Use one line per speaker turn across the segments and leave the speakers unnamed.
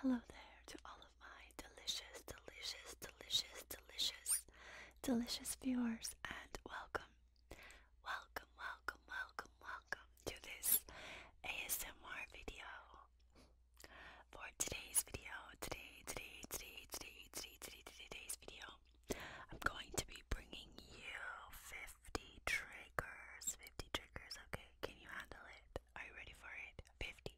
Hello there to all all of my delicious, delicious, delicious, delicious, delicious viewers, and welcome, welcome, welcome, welcome, welcome to this ASMR video. For today's video, today, today, today, today, today, today, today's video, I'm going to be bringing you 50 triggers, 50 triggers, okay? Can you handle it? Are you ready for it? 50,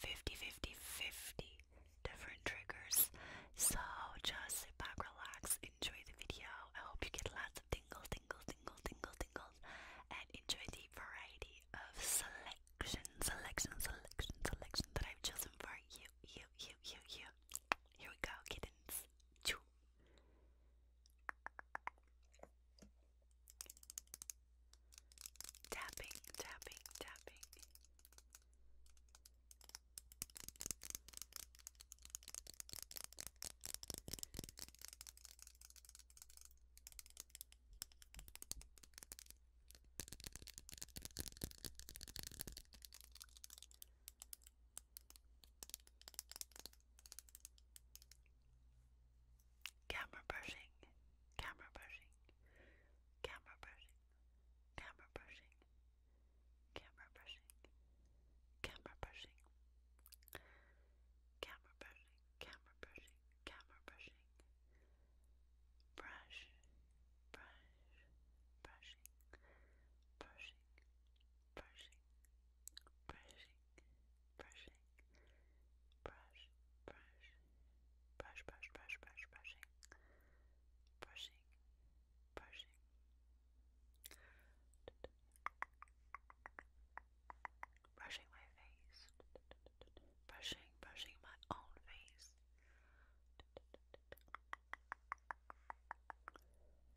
50, 50, 50 different triggers. So just sit back, relax, enjoy the video. I hope you get lots of tingles, tingles, tingles, tingles, tingles, and enjoy the variety of selection, selection, selection, selection that I've chosen for you, you, you, you, you. Here we go, kittens. Tapping, tapping, tapping. Camera brushing, camera brushing, camera brushing camera brushing, camera brushing, camera brushing, camera brushing, camera brushing, camera brushing, brush, brush, brushing, brushing, brushing, brushing, brushing, brush, brush, brush, brush, brush, brush, brushing, brushing, brushing. Brushing my face, brushing, brushing my own face,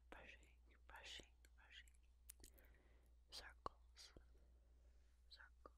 brushing, brushing, brushing, circles, circles,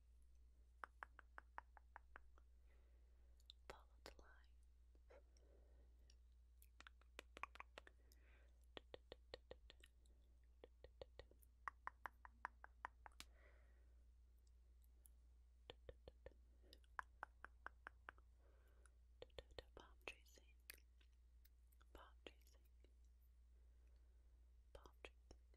Follow the line. Palm tracing, palm tracing, palm tracing,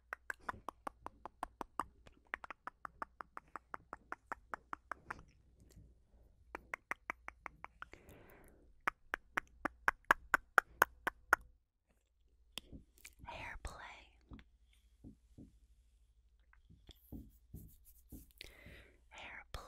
Hair play. Hair play.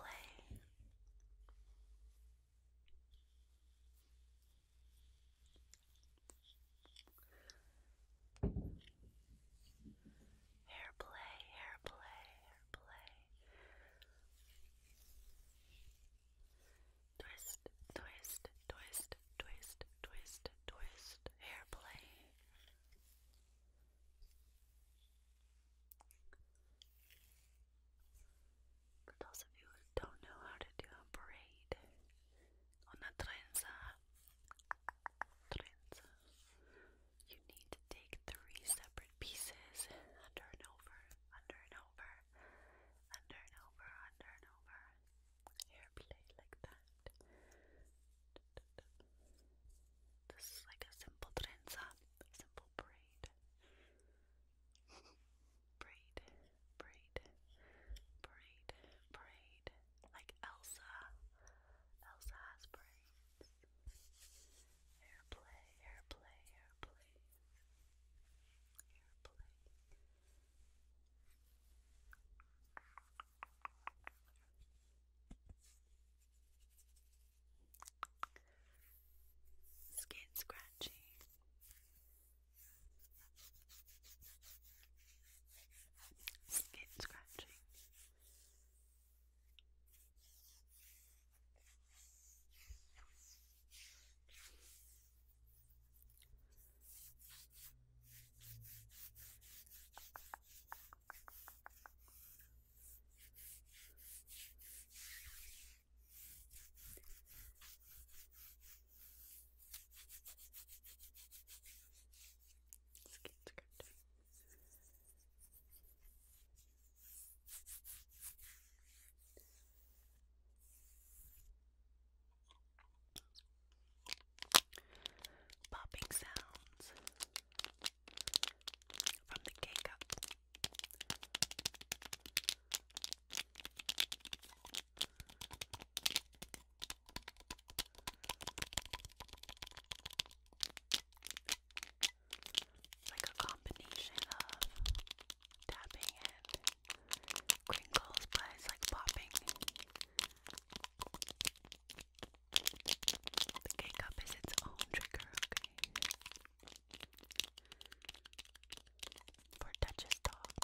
Hair play, hair play, hair play. Twist, twist, twist, twist, twist, twist, hair play. For those of you who don't know how to do a braid, Una trenza. Trenza. You need to take three separate pieces under and over, under and over, under and over, under and over. Hair play like that. This is like a simple trenza, simple braid. braid braid, braid, braid. Like Elsa. Elsa has braids. Airplay, airplay, airplay. Airplay. Skin scratching, Skin scratching. Skate script. Popping sounds from the K like a combination of tapping and crinkles, but it's like popping. The cake cup is its own trigger, okay? For Duchess dogs.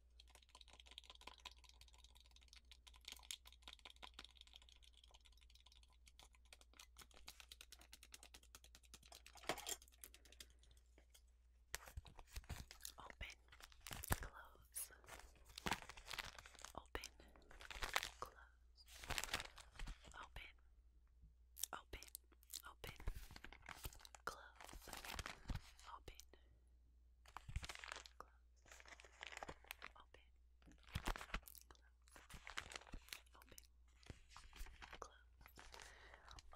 Open, close, open, close, open, open, open, close, open, Close.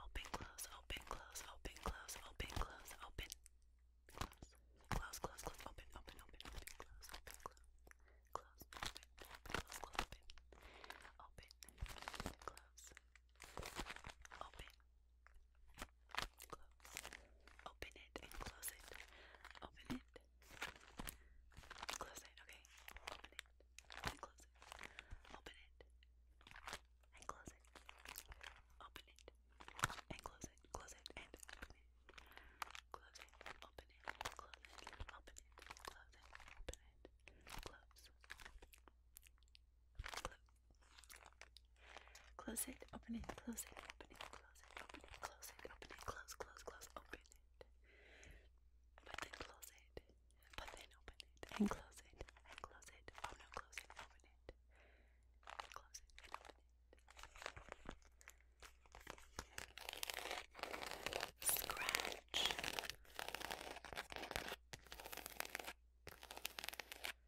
Open. Close. Open. Close. Open, close, open, close, open, close, open, close, open. Close. Close, close, close, open, open, open, open, close, open, close. Close, open, close, close, open. Open, close. Open, Close. Open it and close it. Open it. Close it. Okay. Open it and close it. Open it and close it. Open it and close it. Close it and open it. Close it. Open it. Close it. Open it. Close it. Open it. Close. Close. Close it, open it, close it, open it, close it, open it, close it, open it, close, close, close, open it. But then close it. But then open it. And close it. And close it. Oh no, close it, open it. Close it and open it. Scratch.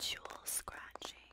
Jewel scratching.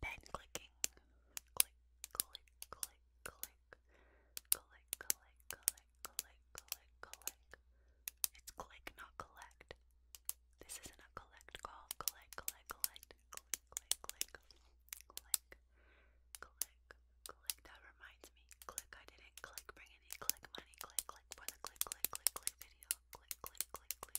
Pen clicking. Click, click, click, click. Click, click, click, click, click, click. It's click, not collect. This isn't a collect call. Click, click, Click, click, click. Click, click, click. That reminds me. Click, I didn't click, bring any click money. Click, click for the click, click, click, click video. Click, click, click, click.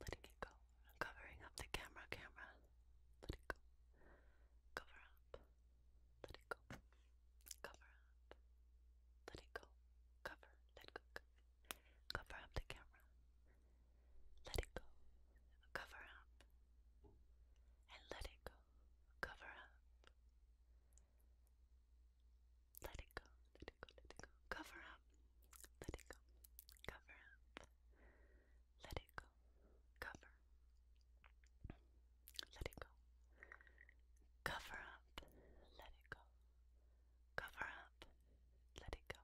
letting it go, covering up the camera, camera, let it go, cover up, let it go, cover up, let it go, cover, let go, cover up the camera, let it go, cover up, and let it go, cover up. Let it go, let it go, let it go. Cover up let it go, cover up, let it go, cover, let it go, cover up, let it go, cover up, let it go,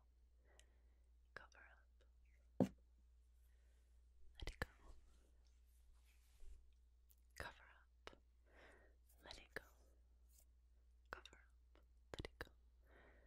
cover up, let it go, cover up, let it go, cover up, let it go.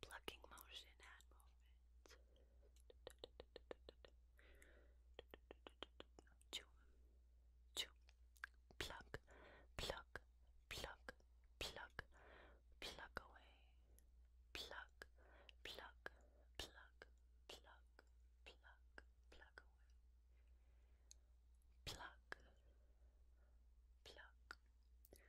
plucking motion and movement. Chew, chew, pluck, pluck, pluck, pluck, pluck away. Pluck, pluck, pluck, pluck, pluck, pluck away. Pluck, pluck,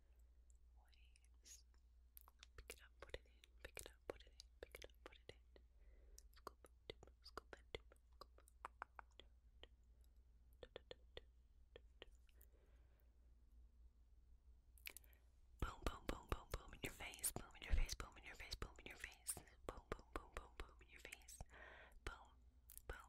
waves. Pick it up, put it in, pick it up, put it in, pick it up, put it in. Scoop, dip, scoop, and dip, scoop. Boom, boom, boom, boom, boom in your face, boom in your face, boom in your face, boom in your face, boom, boom, boom, boom, boom in your face, boom, boom,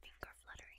Finger fluttering.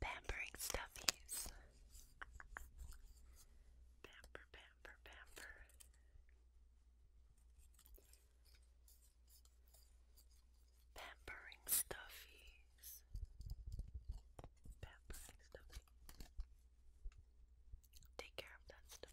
Pampering stuffies. Pamper, pamper, pamper. Pampering stuffies. Pampering stuffies. Take care of that stuff.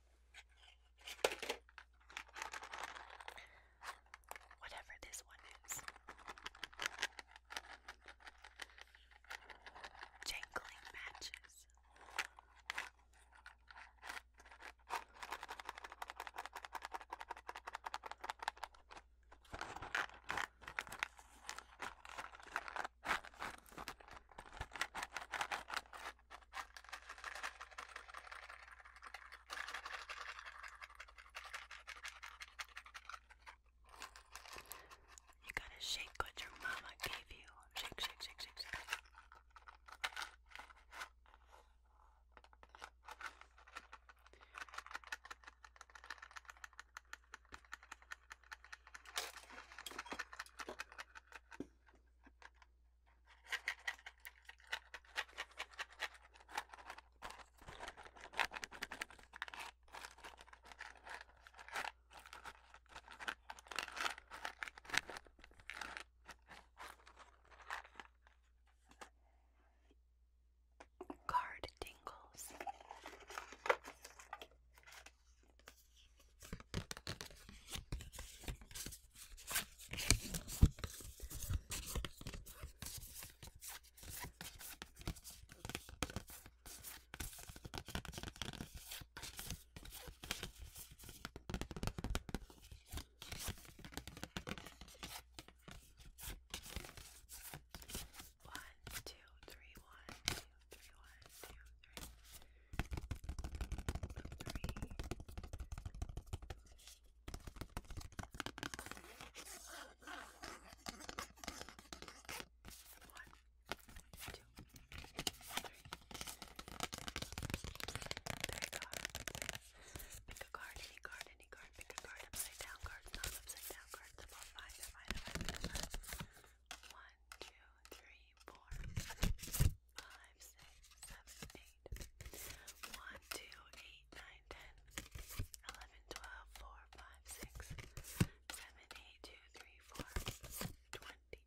Whatever this one is. Jangling matches. You gotta shake what your mama gave you. Shake, shake, shake, shake, shake. Card tingles. One, two, three, one, two, three, one, two, three. Three. One, two, three. There you go. Pick a card, any card, any card, pick a card, upside down cards, not upside down cards, above five, five, five, five. One, two, three, four, five, six, seven, eight eight. One, two, eight, nine, ten, eleven, twelve, four, five, six, seven, eight, two, three, four, twenty.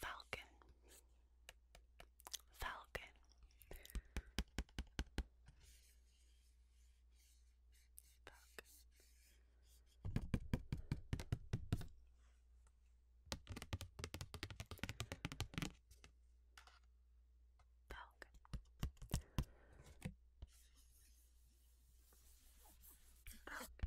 Falcon. Falcon. Falcon. Falcon. Falcon.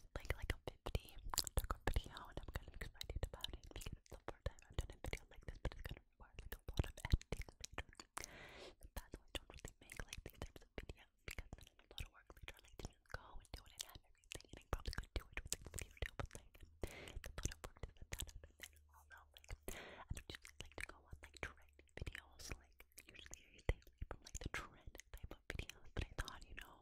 it's like like a 50 took a video and I'm kind of excited a video like this but it's a lot of editing I don't really make like these types of because then a lot of work later like to go and do it and and I probably could do it with like YouTube but it's a lot of work to set that and then also like I just like to go on like trend videos like usually I stay like the trend type of videos but I thought you know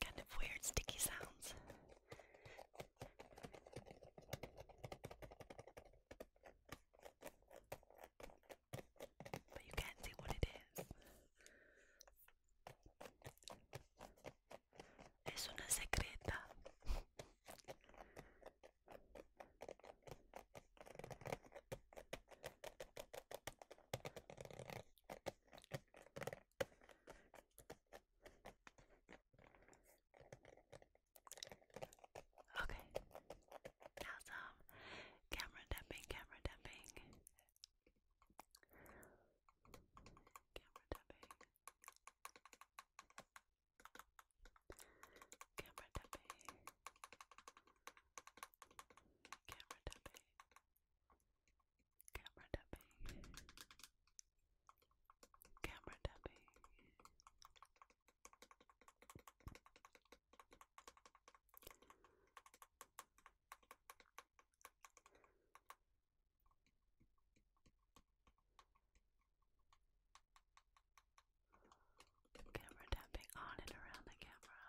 Kind of weird sticky sounds. But you can't see what it is. Es una secreta. Okay. How's um, camera tapping, camera tapping? Camera tapping. Camera tapping. Camera tapping. Camera tapping. Camera tapping. Camera tapping on and around the camera.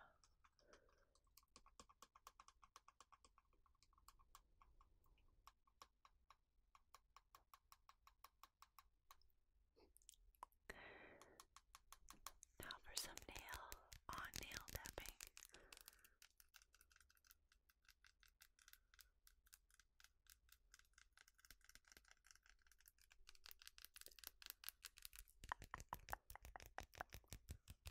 Now for some nail on nail tapping.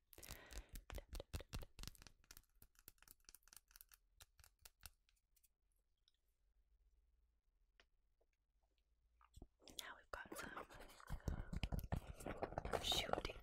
Tap, tap, tap, tap. Now we've got some shoe tingles.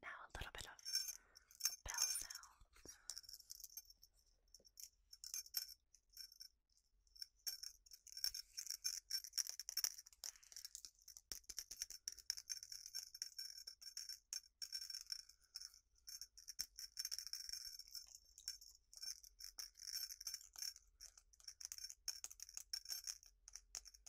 Now a little bit of bell sounds.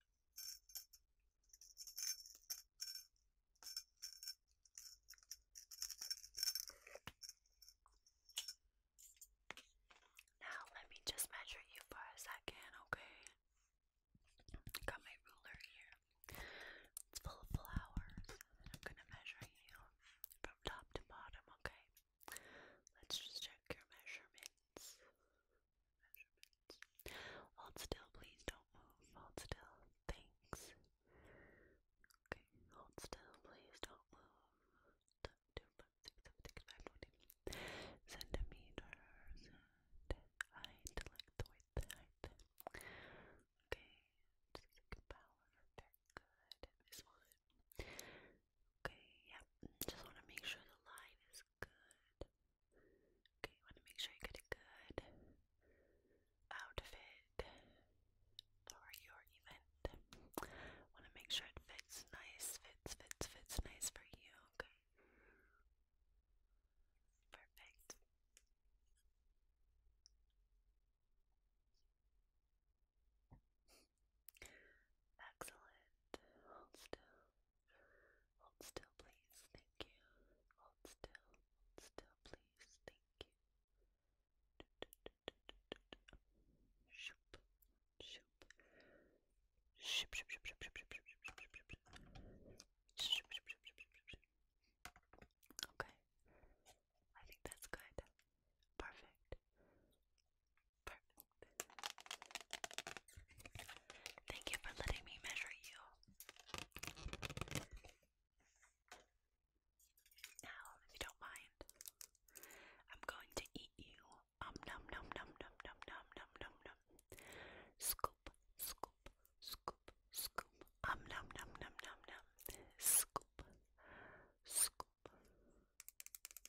Now, let me just measure you for a second, okay? Got my ruler here. It's full of flowers, I'm gonna measure you from top to bottom, okay? Let's just check your measurements measurements. Hold still, please don't move. Hold still. Thanks. Okay, hold still, please don't move. Two, five, six, seven, six, five, twenty. Centimeters and like the width, height. Okay, just like power. Very good. This one. Okay, yep. Just want to make sure the line is good. Okay, you want to make sure you get a good outfit for your event. Want to make sure it fits nice, fits, fits, fits nice for you. Okay. Perfect. Excellent. Hold still. Hold still, please. Thank you. Hold still. Hold still, please. Thank you. Okay. I think that's good. Perfect. Thank you for letting me measure you. Now, if you don't mind, I'm going to eat you. Um num num num num num num num num num. Scoop, scoop, scoop, scoop. Um num num num num num. Scoop, scoop.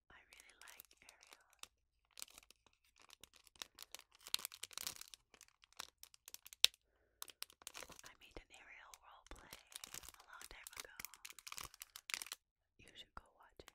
I really like Ariel. I made an Ariel roleplay a long time ago. You should go watch it.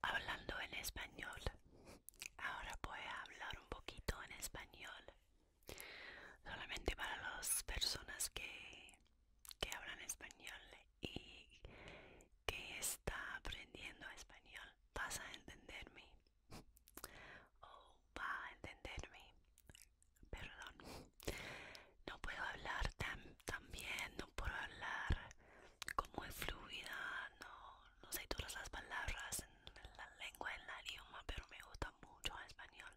Hablando en español, ahora voy a hablar un poquito en español, solamente para las personas que, que hablan español y que está aprendiendo español vas a entenderme o va a entenderme perdón no puedo hablar tan, tan bien no puedo hablar como es fluida no, no sé todas las palabras en la lengua en el idioma pero me gusta mucho español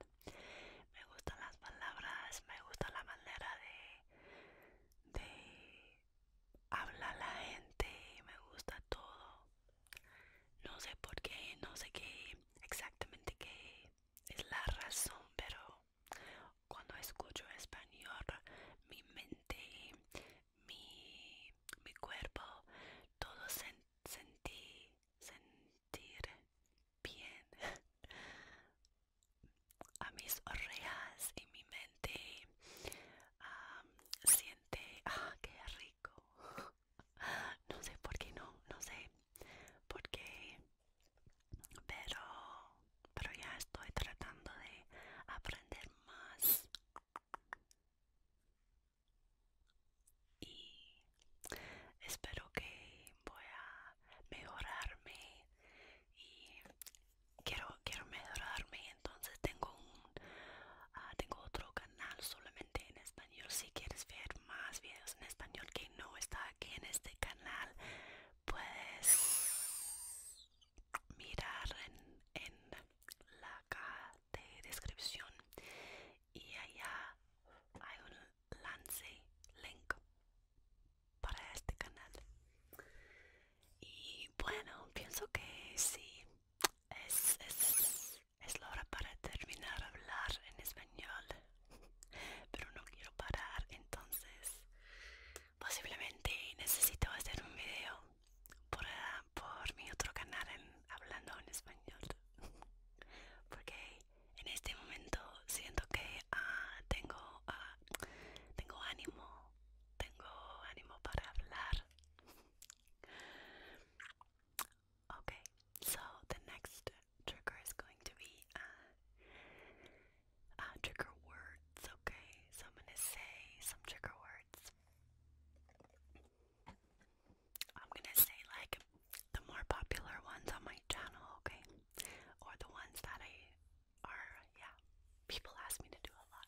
me gustan las palabras me gusta la manera de de habla la gente me gusta todo. No sé por qué, no sé qué exactamente qué es la razón, pero cuando escucho español, mi mente, mi, cuerpo, todo sentí, sentir bien. a mis orejas y mi mente siento Ah, qué rico. No sé por qué no, no sé por qué, pero, pero ya estoy tratando de aprender más. Y espero que voy a mejorarme y quiero quiero mejorarme entonces tengo un ah, tengo otro canal solamente en español si quieres ver más videos en español que no está aquí en este canal puedes mirar en, en la caja de descripción y allá hay un lance link para este canal y bueno pienso que sí es, la hora para terminar hablar en español, pero no quiero parar, entonces posiblemente necesito hacer un video por, ah, por mi otro canal hablando en español, porque en este momento siento que ah, tengo, ah, tengo ánimo, tengo ánimo para hablar Okay, so the next trigger is going to be uh, uh, trigger words, okay? So I'm gonna say some trigger words. I'm gonna say like the more popular ones on my channel, okay? Or the ones that I are, yeah, people ask me to do a lot.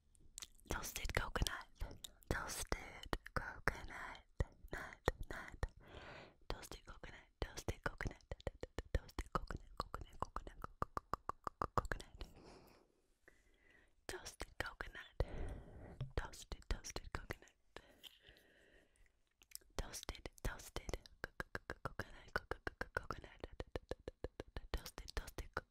Toasted coconut. Toasted coconut. Nut, nut. Toasted coconut. Toasted coconut. Toasted coconut. Coconut. Coconut. Coconut. Toasted coconut. Toasted. Toasted coconut. Toasted. Toasted. Coconut. Coconut. Coconut. Toasted. Toasted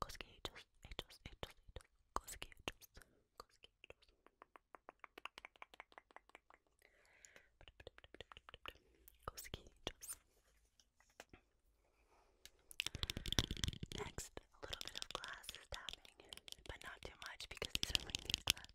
Cosquitos, hechos, hechos, hechos, cosquitos, cosquitos. Cosquitos. Next, a little bit of glasses tapping, but not too much because these are my new glasses.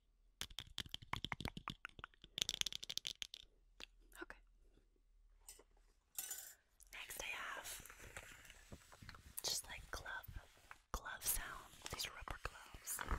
Okay. Next, I have just like glove, glove sound. These rubber gloves.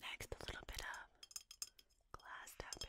Next, a little bit of glass tapping.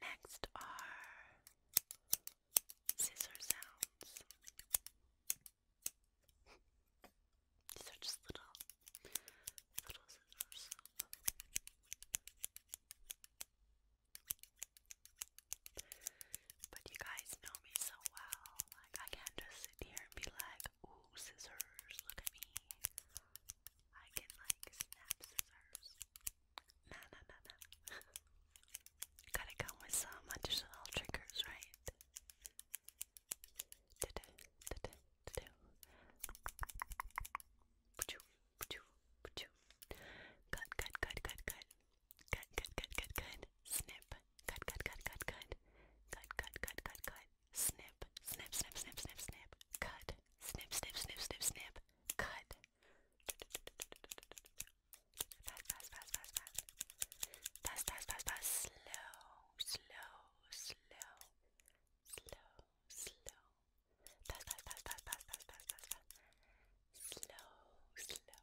Next are scissor sounds. These are just little, little scissors. But you guys know me so well. Like, I can't just sit here and be like, ooh, scissors, look at me. I can, like, snap scissors. Nah, nah, nah, nah. Gotta come with some additional triggers, right? Cut, cut, cut, cut, cut. Cut, cut, cut, cut, cut. Snip, cut, cut, cut, cut, cut, cut, cut, cut, cut, cut, snip, snip, snip, snip, snip, snip, cut, snip, snip, snip, snip, snip, cut. Fast, fast, fast, fast, fast, fast, fast, fast, fast, slow, slow, slow, slow, slow, fast, fast, fast, fast, fast, fast, fast, fast, slow, slow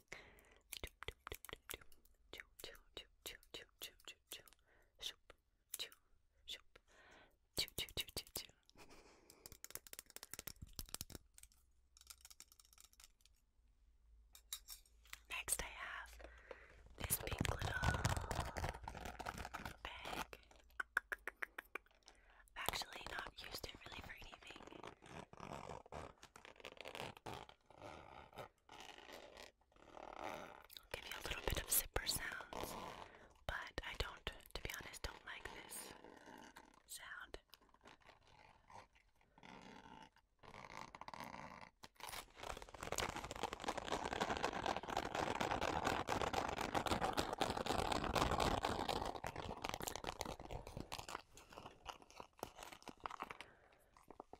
Next, I have this pink little bag. I've actually not used it really for anything. I'll give you a little bit of zipper sounds, but I don't, to be honest, don't like this sound.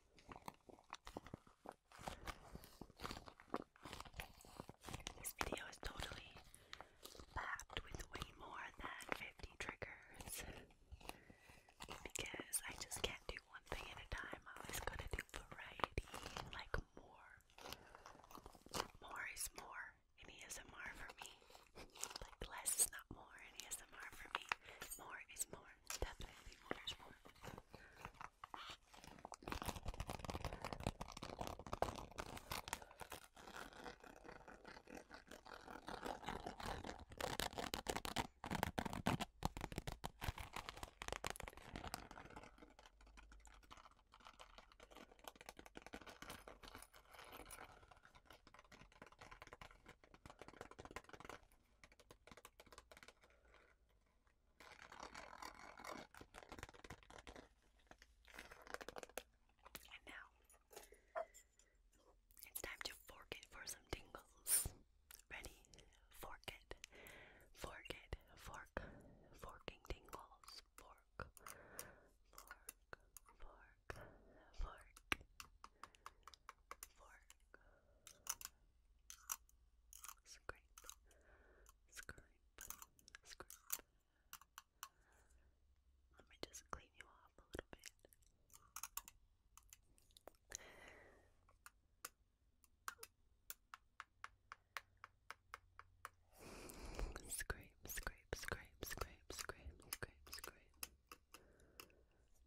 This video is totally packed with way more than 50 triggers because I just can't do one thing at a time. I always gotta do variety, like more. More is more in ASMR for me. Like less is not more in ASMR for me. More is more more. Definitely orders more. And now it's time to fork it for some tingles. Ready? Fork it. Fork it. Fork. Forking tingles. Fork. Fork. Fork. Fork. Fork. Scrape, scrape, scrape. Let me just clean you off a little bit. Scrape, scrape, scrape, scrape, scrape, scrape, scrape.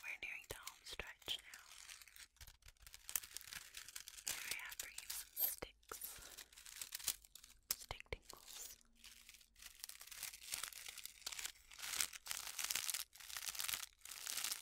We're nearing the home stretch now. Here I have for you some sticks, stick tingles.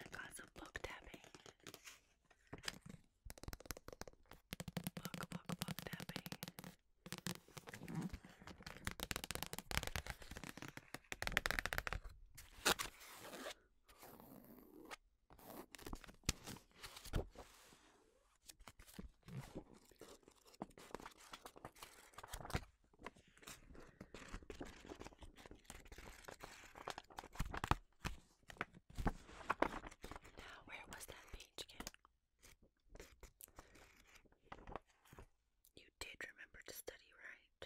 I got some book tapping. Book, book, book tapping. Mm -hmm where was that page again? You did remember to study, right?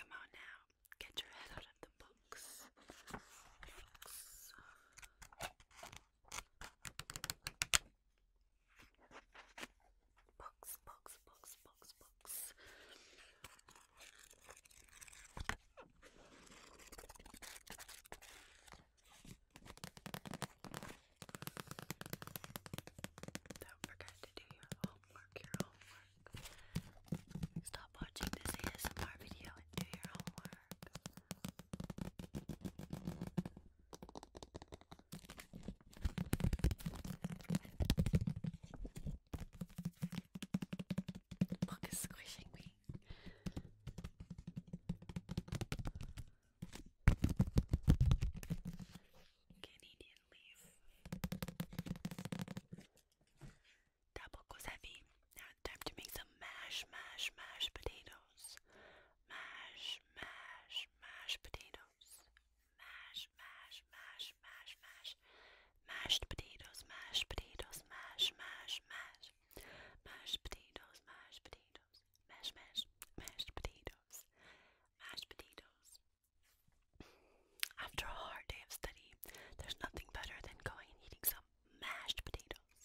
Come on now, get your head out of the books. Box, box, box, box, box. Don't forget to do your homework, your homework. Stop watching this ASMR video and do your homework. The book is squishing me. Canadian leaf. That book was heavy. Now time to make some mash, mash, mash potatoes mash, mash, mashed potatoes, mash, mash, mash, mash, mash, mashed potatoes, mashed potatoes, mash, mash, mash, mashed potatoes, mashed potatoes, mash, mash, mashed potatoes, mashed potatoes. After a hard day of study, there's nothing better than going and eating some mashed potatoes,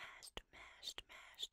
mashed, mashed, mashed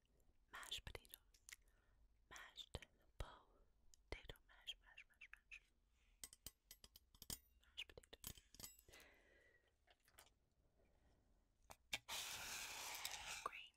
mashed potatoes, mashed potato, mash, mash, mash, mashed potatoes. Grains.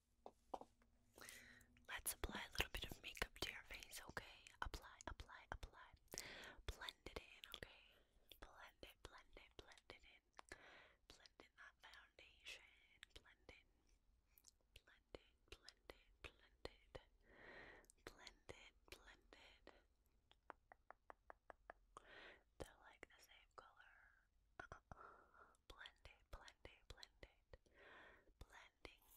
Let's apply a little bit of makeup to your face, okay? Apply, apply, apply. Blend it in, okay? Blend it, blend it, blend it in. Blend in that foundation. Blend in. Blend it, blend it, blend it. Blend it, blend it. They're like the same color. Uh -uh blend it, blend it, blend it. Blending.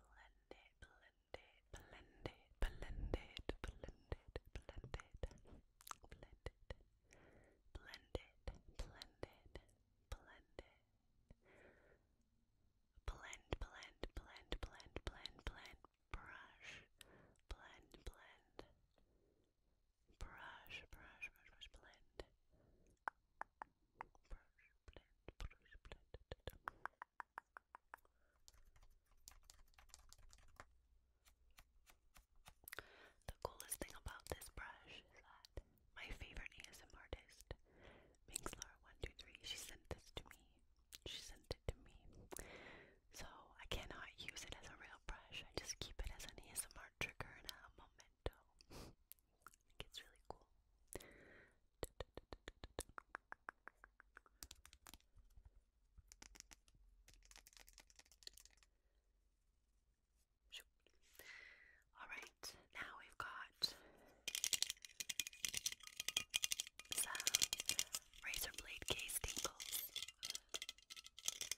Blend it, blend it, blend it, blend it, blend it, blend it, blend it, blend it, blend it, blend it. Blend, blend, blend, blend, blend, blend, brush, blend, blend, brush, brush, brush, brush, blend. Brush, blend, brush, blend. The coolest thing about this brush is that my favorite ASM artist, Mingslar123, she sent this to me. She sent it to me. So I cannot use it as a real brush. I just keep it as an ASMR trigger and a memento. it's really cool. Alright, now we've got some razor blade case tingles.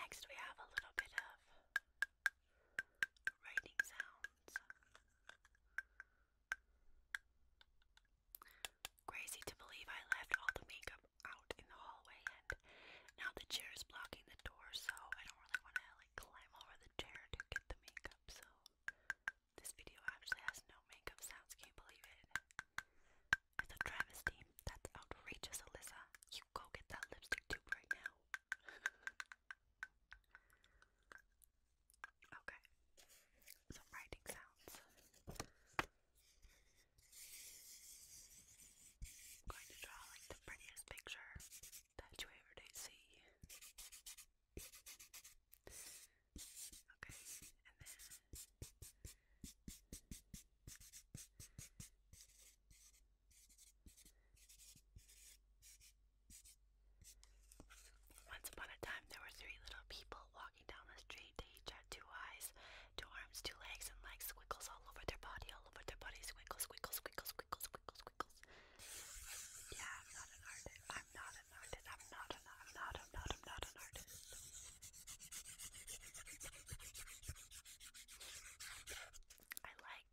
Next, we have a little bit of writing sounds. Crazy to believe I left all the makeup out in the hallway, and now the chair is blocking the door, so I don't really want to like climb over the chair to get the makeup, so this video actually has no makeup sounds. Can not believe it? It's a travesty. That's outrageous, Alyssa. You go get that lipstick tube right now. okay. Some writing sounds. going to draw like the prettiest picture that you ever do see. Okay, and then once upon a time, there were three little people walking down the street. They each had two eyes, two arms, two legs, and like squiggles all over their body, all over their body. Squiggles, squiggles, squiggles, squiggles, squiggles, squiggles. Yeah, I'm not an artist. I'm not an artist. I'm not an I'm not I'm not I'm not an artist. I like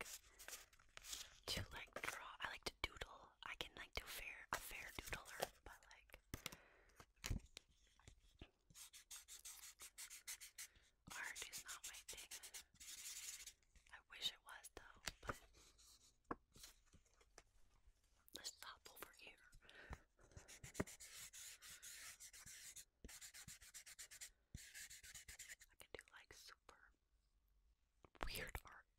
to like draw. I like to doodle. I can like do fair a fair doodler, but like art is not my thing. I wish it was though, let's stop over here. I can do like super weird art.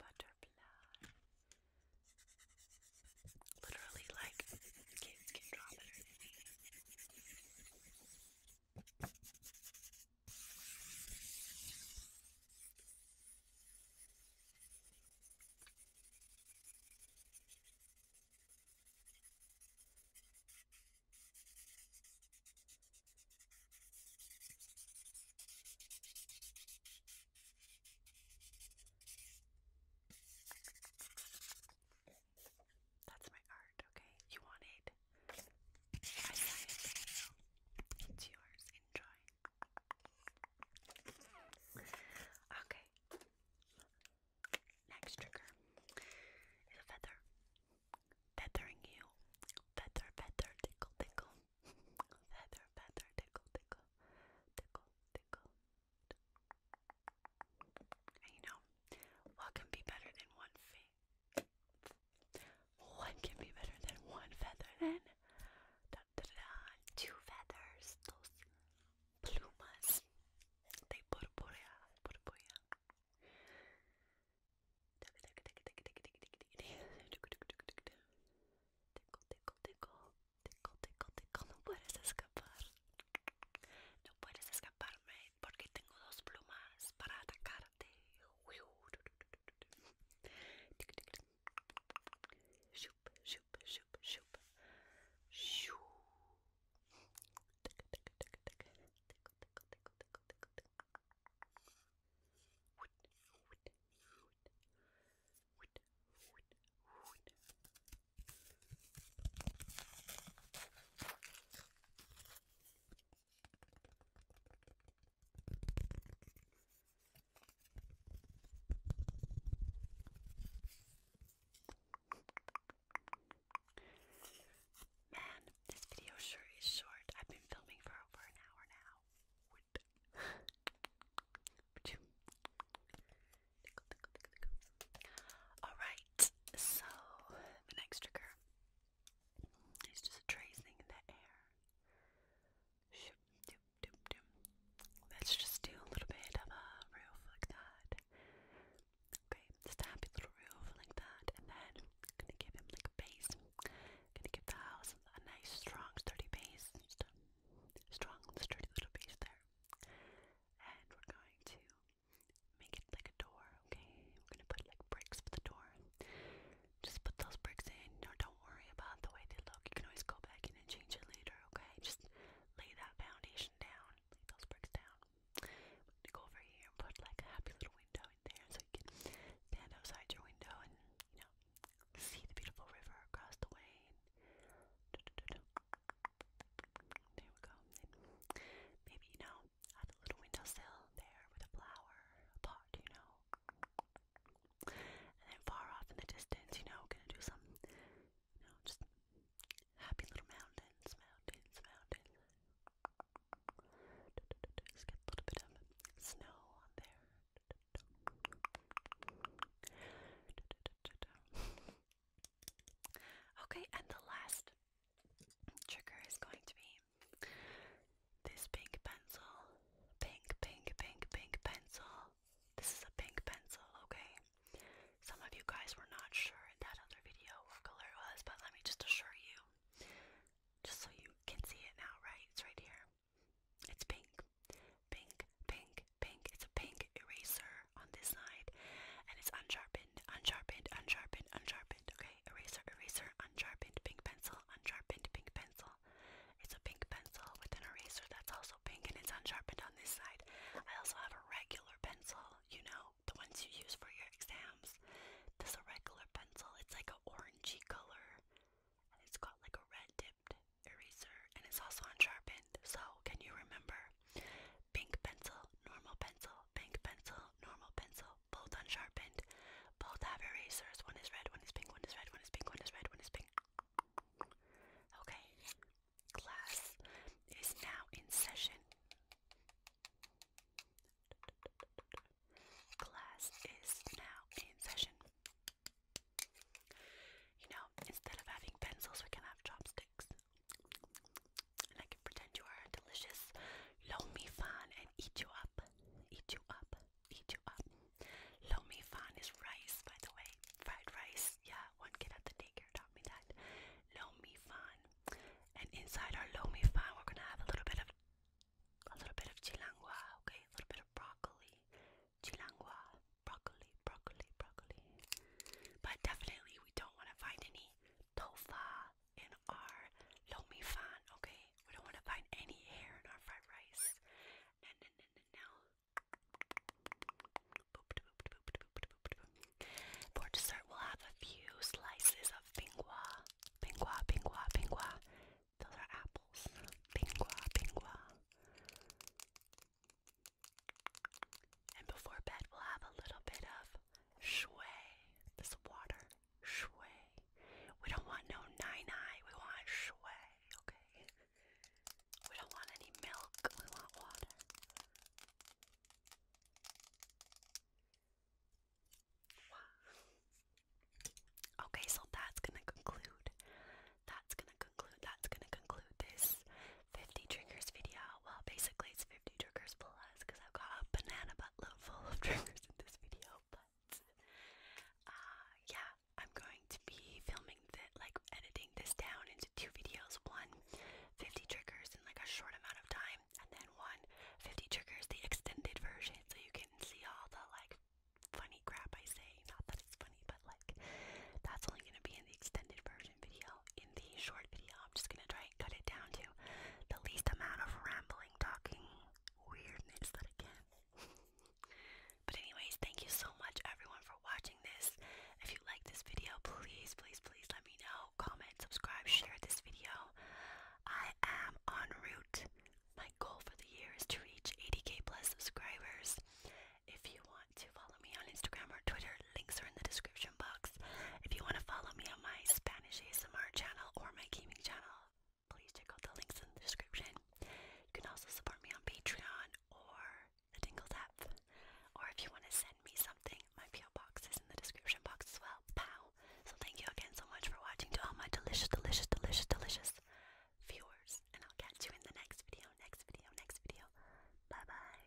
Butterfly. Literally, like, kids can draw better that's my art, okay? You want I got it. It's yours. Enjoy. Okay. Next trigger is a feather. Feathering you. Feather, feather, tickle, tickle. Feather, feather, tickle, tickle. Tickle, tickle. you know, what can be better than one fee? One can be better than one feather then. Da, da, da, Two feathers, dos plumas de purpúrea, purpúrea. Tickle, tickle, tickle, tickle, tickle, no puedes escapar. No puedes escaparme porque tengo dos plumas para atacarte. Shoop, shoop, shoop, shoop. Shoo. Tickle, tickle, tickle, tickle. Tickle, tickle, tickle, tickle, tickle, tickle. Wood, wood, wood. Wood, wood, wood. Man, this video sure is short. I've been filming for over an hour now. Alright, so the next trigger is just a tracing in the air. Let's just do a little bit of a roof like that. Okay, just a happy little roof like that, and then gonna give him like a base. gonna give the house a nice, strong, sturdy base. strong, sturdy little base there. And we're going to make it like a door, okay? We're gonna put like bricks for the door. Just put those bricks in. No, don't worry about the way they look. You can always go back in and change it later, okay? Just lay that foundation down. Lay those bricks down. go over here and put like a happy little window in there so you can stand outside your window and, you know, see the beautiful river across the way. there we go. maybe, you add a little windowsill there with a flower, a pot, you know. And then far off in the distance, you know, gonna do some, you know, just happy little mountains, mountains, mountains. Just get a little bit of snow on there. Okay, and the last trigger is going to be this pink pencil. Pink, pink, pink, pink pencil. This is a pink pencil, okay? Some of you guys were not sure in that other video what color it was, but let me just assure you. Just so you can see it now, right? It's right here. It's pink. Pink, pink, pink. It's a pink eraser on this side. And it's unsharpened, unsharpened, unsharpened, unsharpened. Okay, eraser, eraser, unsharpened, pink pencil, unsharpened, pink pencil. It's a pink pencil with an eraser that's also pink and it's unsharpened on this side. I also have a regular pencil, you know, the ones you use for your exams. This is a regular pencil. It's like an orangey color and it's got like a red dipped eraser and it's also unsharpened. So, can you remember? Pink pencil, normal pencil, pink pencil, normal pencil, both unsharpened. Both have erasers. One is red, one is pink, one is red, one is pink, one is red, one is pink. Okay. Class is now in session. Class is now in session. You know, instead of having pencils, we can have chopsticks. And I can pretend you are delicious. Loan me and eat you up. Eat you up eat you up. Lo fan is rice, by the way. Fried rice. Yeah, one kid at the daycare taught me that. Lo fan. And inside our lo fan, we're gonna have a little bit of a little bit of chilangua, okay? A little bit of broccoli. Chilangua, broccoli, broccoli, broccoli. But definitely we don't want to find any tofa in our lo fan, okay? We don't want to find any hair in our fried rice. For dessert, we'll have a few slices of pingua. Pingua, pingua, pingua. Those are apples. Pingua, pingua. And before bed, we'll have a little bit of shui. This water. Shui. We don't want no nine eye. We want shway, okay? We don't want any milk. We want water. Okay, so that's gonna conclude. That's gonna conclude. That's gonna conclude this 50 triggers video. Well, basically it's 50 triggers plus because I've got a banana buttload full of triggers in this video but uh, yeah, I'm going to be filming that, like editing this down into two videos: one 50 triggers in like a short amount of time, and then one 50 triggers, the extended version, so you can see all the like funny crap I say. Not that it's funny, but like that's only gonna be in the extended version video. In the short video, I'm just gonna try and cut it down to the least amount of rambling, talking weirdness that I can. But anyways, thank you so much everyone for watching this. If you like this video, please, please, please let me know. Comment, subscribe, share this video. I am en route. My goal for the year is to reach 80k plus subscribers. If you want to follow me on Instagram or Twitter, links are in the description box. If you want to follow me on my Spanish ASMR channel or my gaming channel, please check out the links in the description. You can also support me on Patreon or the Dingles app. Or if you want to send me something, my PO box is in the description box as well. Pow! So thank you again so much for watching to all my delicious, delicious, delicious, delicious viewers. And I'll catch you in the next video, next video, next video. Bye bye.